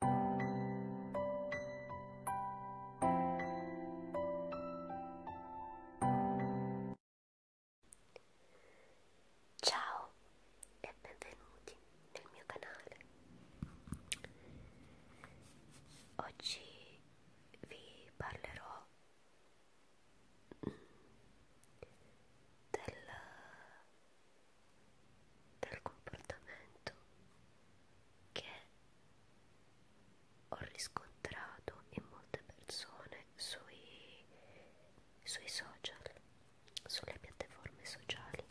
Ciao e benvenuti nel mio canale. Oggi vi parlerò mm, del dal comportamento che ho riscontrato in molte persone sui, sui social, sulle piattaforme sociali,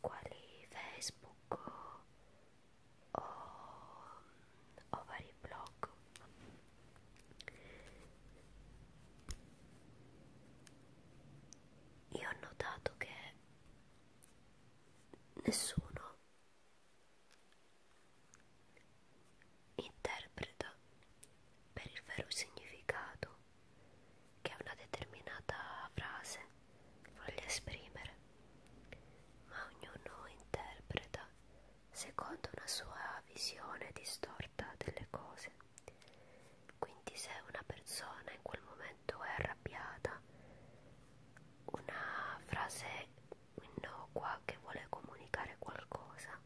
quali Facebook o, o vari blog. Io ho notato che nessuno interpreta per il vero significato che una determinata frase voglia esprimere, ma ognuno interpreta secondo una sua visione distorta delle cose quindi se una persona in quel momento è arrabbiata, una frase innocua che vuole comunicare qualcosa,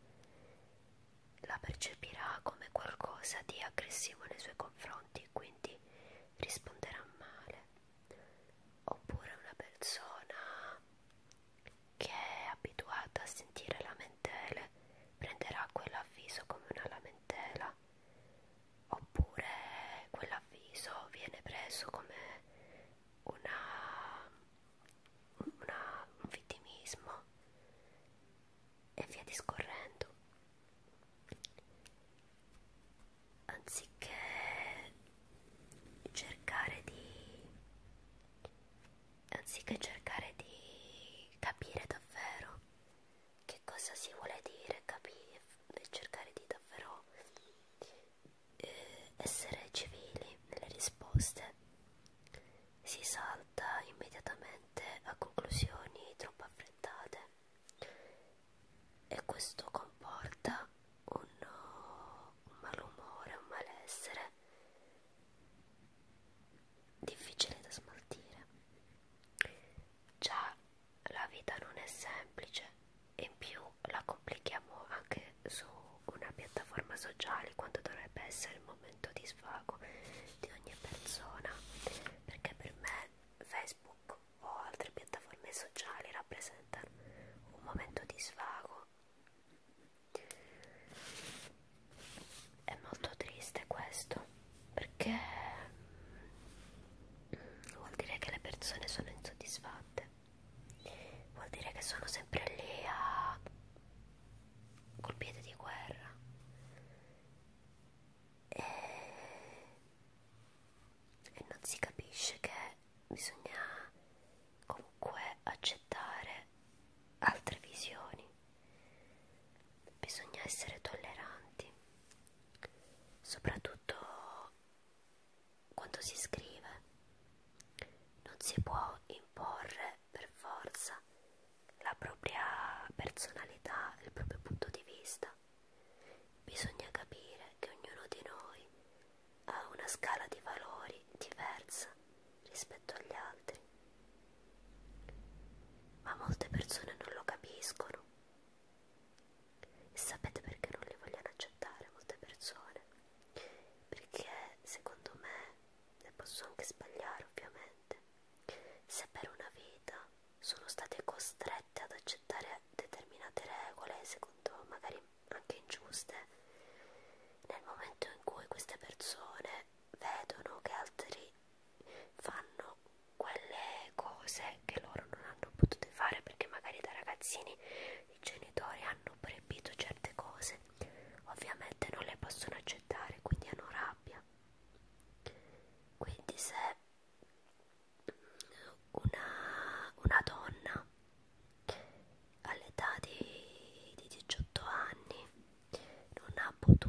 la percepirà come qualcosa di aggressivo nei suoi confronti, quindi risponderà male. Oppure una persona che è abituata a sentire lamentele prenderà quell'avviso come una lamentela via oppure quell'avviso viene preso come una, una, un vittimismo e via discorrendo anziché cercare di anziché cercare di capire davvero che cosa si vuole dire, capire e cercare di davvero eh, essere civili nelle risposte. Si salta immediatamente a conclusioni troppo affrettate e questo comporta un, un malumore, un malessere difficile da smaltire. Già la vita non è semplice e in più la complichiamo anche su una piattaforma sociale quando dovrebbe essere il momento di svago di ogni persona perché per me Facebook o altre piattaforme sociali rappresentano un momento di svago è molto triste questo perché mm, vuol dire che le persone sono insoddisfatte vuol dire che sono sempre lì a col piede di guerra e, e non si capisce che bisogna comunque accettare altre visioni Bisogna essere tolleranti, soprattutto quando si scrive. Non si può imporre per forza la propria personalità, il proprio punto di vista. Bisogna capire che ognuno di noi ha una scala di valori diversa rispetto agli altri ma molte persone non lo capiscono. E sapete perché non li vogliono accettare molte persone? Perché secondo me, e posso anche sbagliare ovviamente, se per una vita sono state costrette ad accettare determinate regole, secondo magari anche ingiuste, nel momento in cui queste persone vedono che altri fanno quelle cose che loro non hanno potuto fare perché magari da ragazzini i genitori hanno proibito certe cose ovviamente non le possono accettare quindi hanno rabbia quindi se una, una donna all'età di, di 18 anni non ha potuto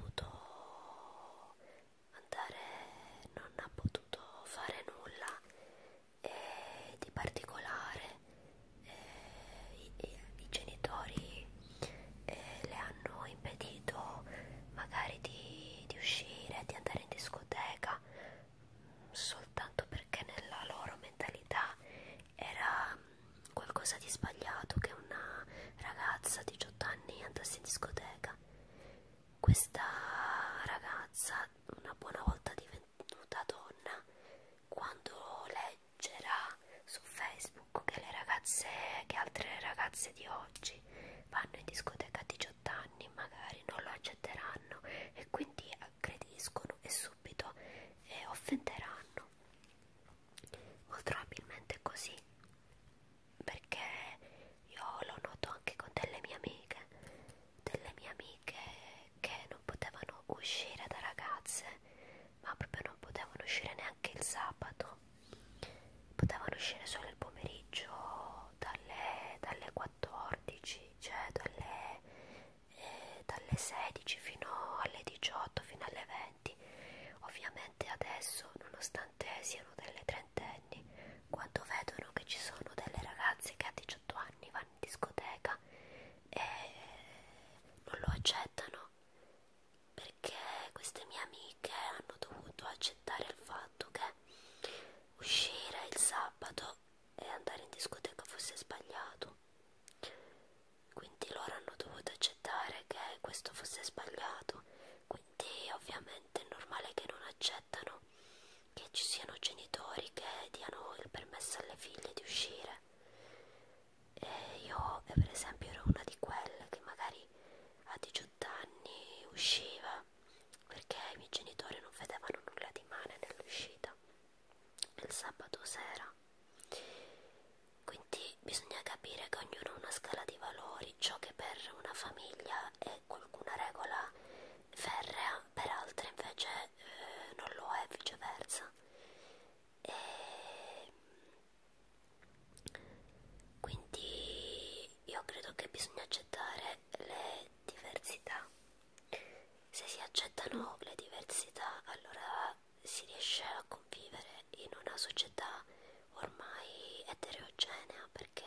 andare non ha potuto fare nulla eh, di particolare eh, i, i, i genitori eh, le hanno impedito magari di, di uscire di andare in discoteca soltanto perché nella loro mentalità era qualcosa di sbagliato che una ragazza 18 anni andassi in discoteca questa ragazza una buona volta divenuta donna quando leggerà su facebook che le ragazze che altre ragazze di oggi vanno in discoteca a 18 anni magari non lo accetteranno e quindi aggrediscono e subito eh, offenderanno molto probabilmente così perché io lo noto anche con delle mie amiche, delle mie amiche che non potevano uscire da ragazze, ma proprio non potevano uscire neanche il sabato, potevano uscire solo il pomeriggio dalle, dalle 14, cioè dalle, eh, dalle 16 fino alle 18, fino alle studenti. Ovviamente adesso, nonostante siano delle trentenni, quando vedono che ci sono delle ragazze che a 18 anni vanno in discoteca e non lo accettano, perché queste mie amiche hanno dovuto accettare il fatto che uscire il sabato e andare in discoteca fosse sbagliato. Quindi quindi loro hanno dovuto accettare che questo fosse sbagliato, quindi ovviamente è normale che non accettano che ci siano genitori che diano il permesso alle figlie di uscire. E io per esempio ero una di quelle che magari a 18 anni usciva perché i miei genitori non vedevano nulla di male nell'uscita il sabato sera quindi bisogna capire che ognuno ha una scala di valori, ciò che per una famiglia è qualcuna regola ferrea, per altre invece eh, non lo è, viceversa. E quindi io credo che bisogna accettare le diversità. Se si accettano le diversità, allora si riesce a convivere in una società ormai eterogenea perché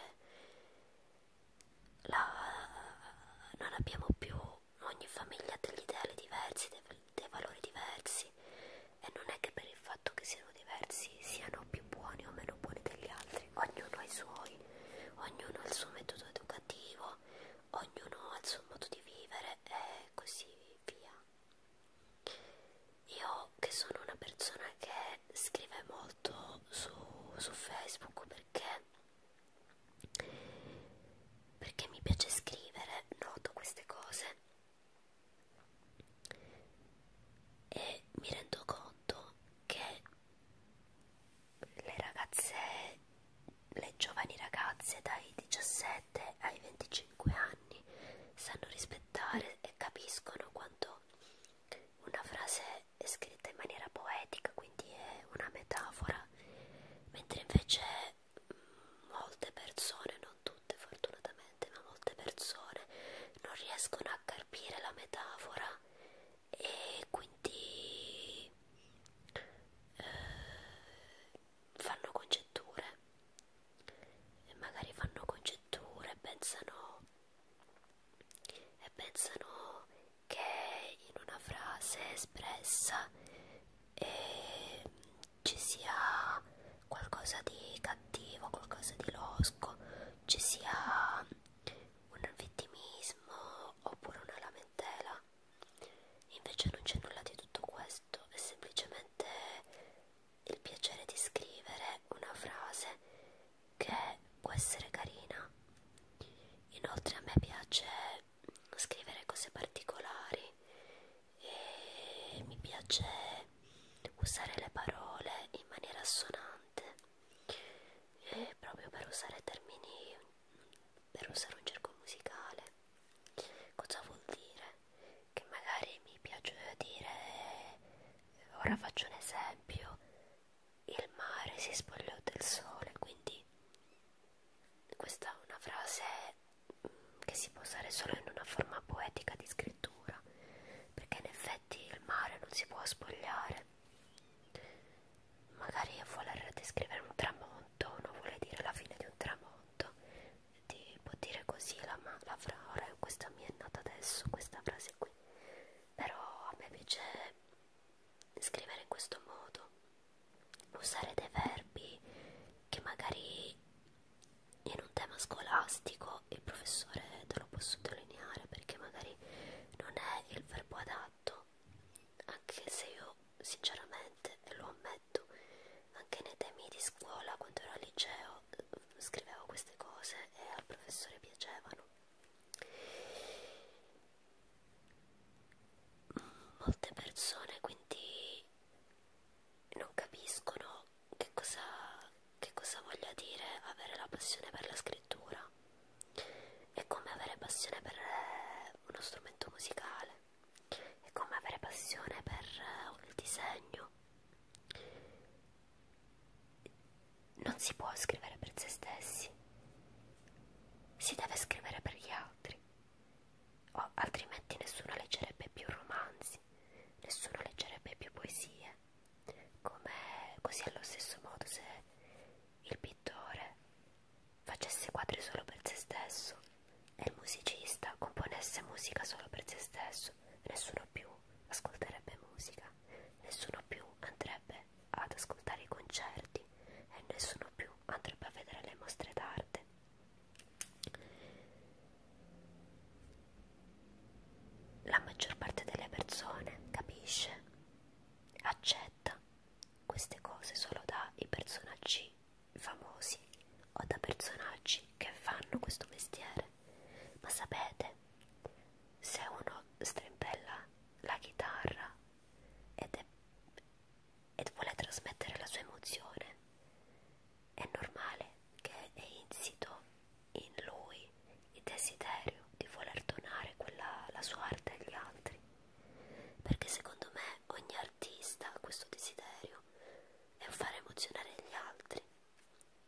la, non abbiamo più ogni famiglia ha degli ideali diversi, dei, dei valori diversi e non è che per il fatto che siano diversi siano più buoni o meno buoni degli altri, ognuno ha i suoi, ognuno ha il suo metodo educativo, ognuno ha il suo modo di vivere e così via. Io che sono una persona che scrive molto su, su Facebook perché, perché mi piace scrivere, noto queste cose e mi rendo conto che le ragazze, le giovani ragazze dai 17 17 ai 25 anni sanno rispettare e capiscono quanto una frase è scritta in maniera poetica, quindi è una metafora, mentre invece mm, molte persone, non tutte fortunatamente, ma molte persone non riescono a capire la metafora e quindi eh, fanno congetture e magari fanno congetture e pensano e pensano che in una frase espressa eh, ci sia qualcosa di cattivo, qualcosa di losco, ci sia un vittimismo oppure una lamentela. Invece non c'è nulla di tutto questo, è semplicemente il piacere di scrivere una frase che può essere carina. Inoltre a me piace scrivere cose particolari e mi piace usare le parole in maniera assonante e proprio per usare termini per usare un gergo musicale cosa vuol dire che magari mi piace dire, ora faccio un esempio, il mare si spogliò del sole, quindi questa è una frase mm, che si può usare solo in una forma poetica di scrittura, perché in effetti il mare non si può spogliare. Magari voler descrivere un tramonto non vuole dire la fine di un tramonto, di può dire così la, la frase, questa mi è nata adesso, questa frase qui, però a me piace scrivere in questo modo, usare dei verbi che magari in un tema scolastico il professore te lo può sottolineare perché magari non è il verbo adatto, anche se io sinceramente lo ammetto, anche nei temi di scuola quando ero al liceo scrivevo queste cose e al professore piacevano. Molte persone quindi non capiscono che cosa, che cosa voglia dire avere la passione per la scrittura. È come avere passione per uno strumento musicale è come avere passione per il eh, disegno. Non si può scrivere per se stessi, si deve scrivere per gli altri, o altrimenti nessuno leggerebbe più romanzi, nessuno leggerebbe più poesie. Come così allo stesso modo se il pittore facesse quadri solo per se stesso e il musicista componesse musica solo per se stesso, nessuno più ascolterebbe musica, nessuno più andrebbe ad ascoltare i concerti e nessuno più andrebbe a vedere le mostre d'arte. La maggior parte delle persone capisce, accetta queste cose solo dai personaggi famosi o da personaggi che fanno questo mestiere. Ma sapete, se uno strimpella la chitarra ed, è, ed vuole trasmettere la sua emozione, è normale che è insito in lui il desiderio di voler donare quella, la sua arte agli altri perché secondo me ogni artista ha questo desiderio e far emozionare gli altri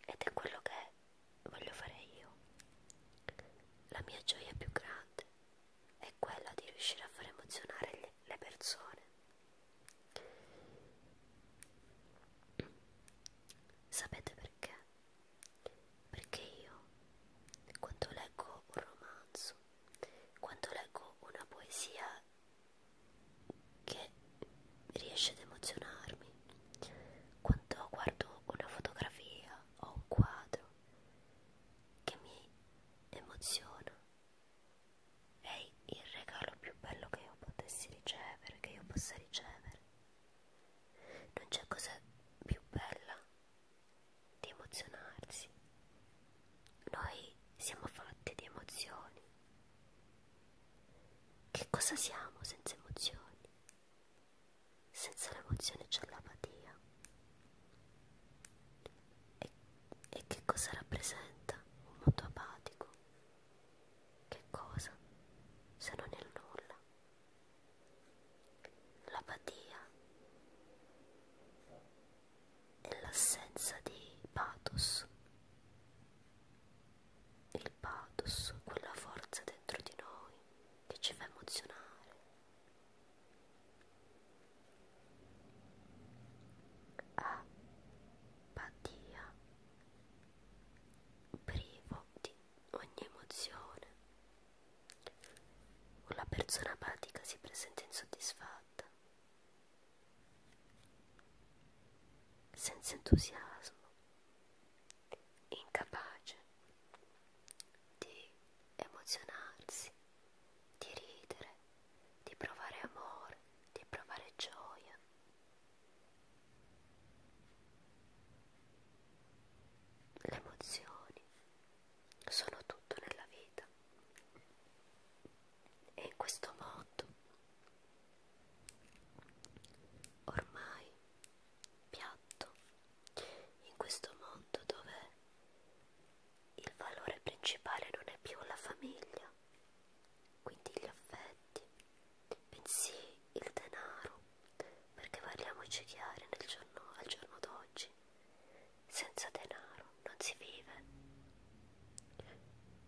ed è quello che voglio fare io. La mia gioia più grande è quella di riuscire a far emozionare le persone. Sapete perché? Perché io, quando leggo un romanzo, quando leggo una poesia che riesce ad emozionarmi. Quando guardo una fotografia o un quadro che mi emoziona, è il regalo più bello che io potessi ricevere, che io possa ricevere. Non c'è cosa più bella di emozionarsi noi siamo fatti di emozioni. Che cosa siamo senza emozioni? Senza l'emozione c'è l'apatia. E, e che cosa rappresenta un mondo apatico? Che cosa se non il nulla? L'apatia e l'assenza di pathos. Il pathos, quella forza dentro di noi che ci fa emozionare. Apatia, privo di ogni emozione. La persona apatica si presenta insoddisfatta senza entusiasmo, incapace di emozionarsi, di ridere, di provare amore, di provare gioia. Le emozioni sono tutto nella vita e in questo mondo ormai piatto in questo mondo dove il valore principale non è più la famiglia quindi gli affetti bensì il denaro perché parliamoci chiari nel giorno, al giorno d'oggi senza denaro non si vive.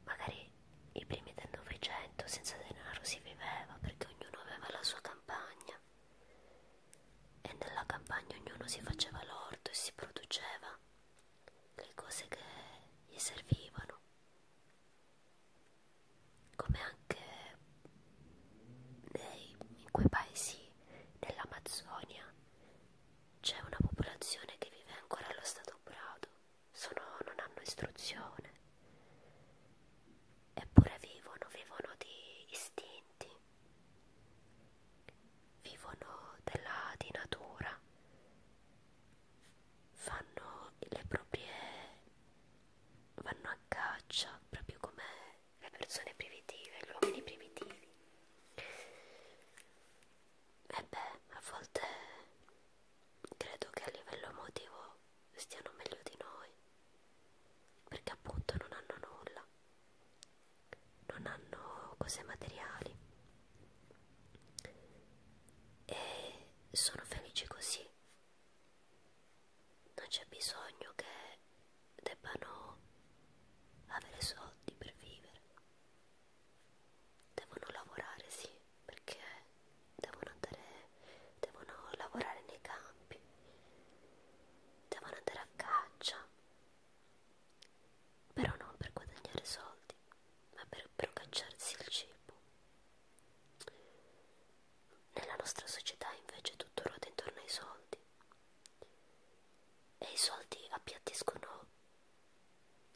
Magari i primi del Novecento senza denaro si viveva perché ognuno aveva la sua campagna e nella campagna ognuno si faceva l'orto e si produceva le cose che gli servivano, come anche nei, in quei paesi dell'Amazzonia c'è una popolazione che vive ancora allo stato brado, sono, non hanno istruzione, eppure vivono, vivono di istinti, vivono della, di natura, fanno le proprie, vanno a caccia proprio come le persone primitive, gli uomini primitivi e eh beh, a volte credo che a livello emotivo stiano meglio di noi, perché appunto non hanno nulla, non hanno cose materiali e sono felici così. Non c'è bisogno che debbano avere soldi per vivere devono lavorare sì perché devono andare devono lavorare nei campi devono andare a caccia però non per guadagnare soldi ma per procacciarsi il cibo nella nostra società invece tutto ruota intorno ai soldi e i soldi appiattiscono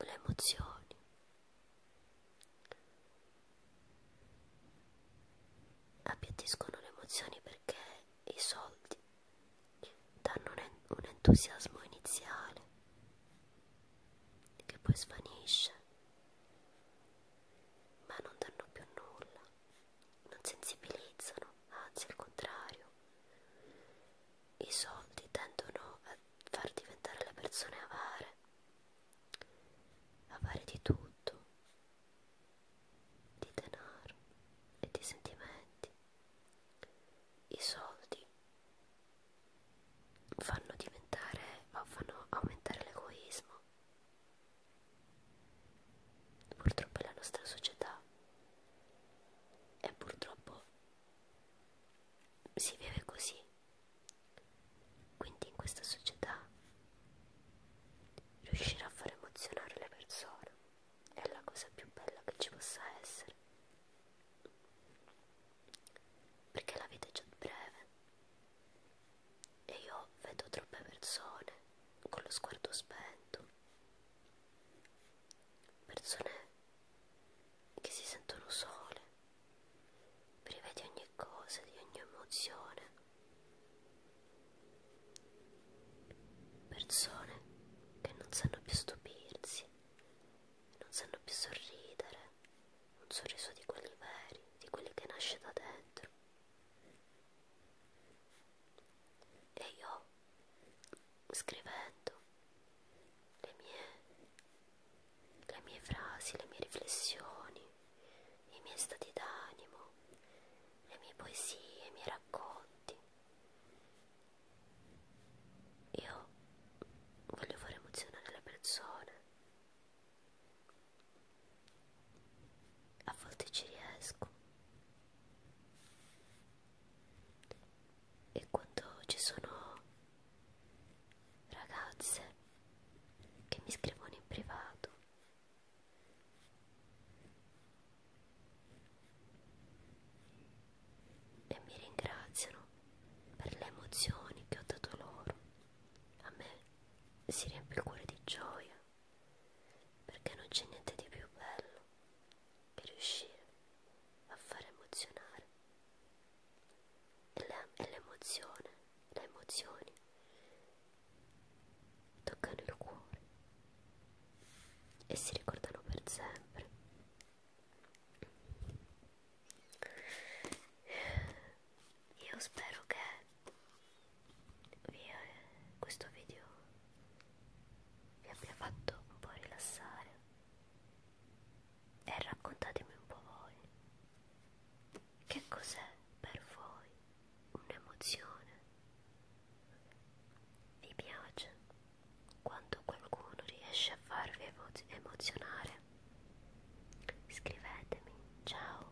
le emozioni appiattiscono le emozioni perché i soldi danno un entusiasmo iniziale che poi svanisce ma non danno più nulla non sensibilizzano anzi al contrario i soldi tendono a far diventare le persone avare, avare di tutto, di denaro e di sentimenti. I soldi fanno diventare o fanno aumentare l'egoismo. Purtroppo è la nostra società e purtroppo si vive così quindi in questa società riuscire a far emozionare le persone è la cosa più bella che ci possa essere perché la vita è già breve e io vedo troppe persone con lo sguardo spento persone che si sentono sole, prive di ogni cosa, di ogni emozione, persone che non sanno più stupirsi, non sanno più sorridere, un sorriso di quelli veri, di quelli che nasce da dentro. E io scrivendo le mie, le mie frasi, le mie riflessioni, i miei stati d'animo, le mie poesie, i miei racconti. Io voglio far emozionare le persone. A volte ci riesco, e quando ci sono ragazze che mi scrivono in privato e mi ringraziano per le emozioni che ho dato loro a me si riempie il cuore di gioia perché non c'è niente di più bello per riuscire a far emozionare e l'emozione, le, le emozioni toccano il cuore e si ricordano per sempre io spero che vi, questo video vi abbia fatto un po' rilassare e raccontatemi un po' voi che cos'è per voi un'emozione vi piace quando qualcuno riesce a farvi emo emozionare scrivetemi ciao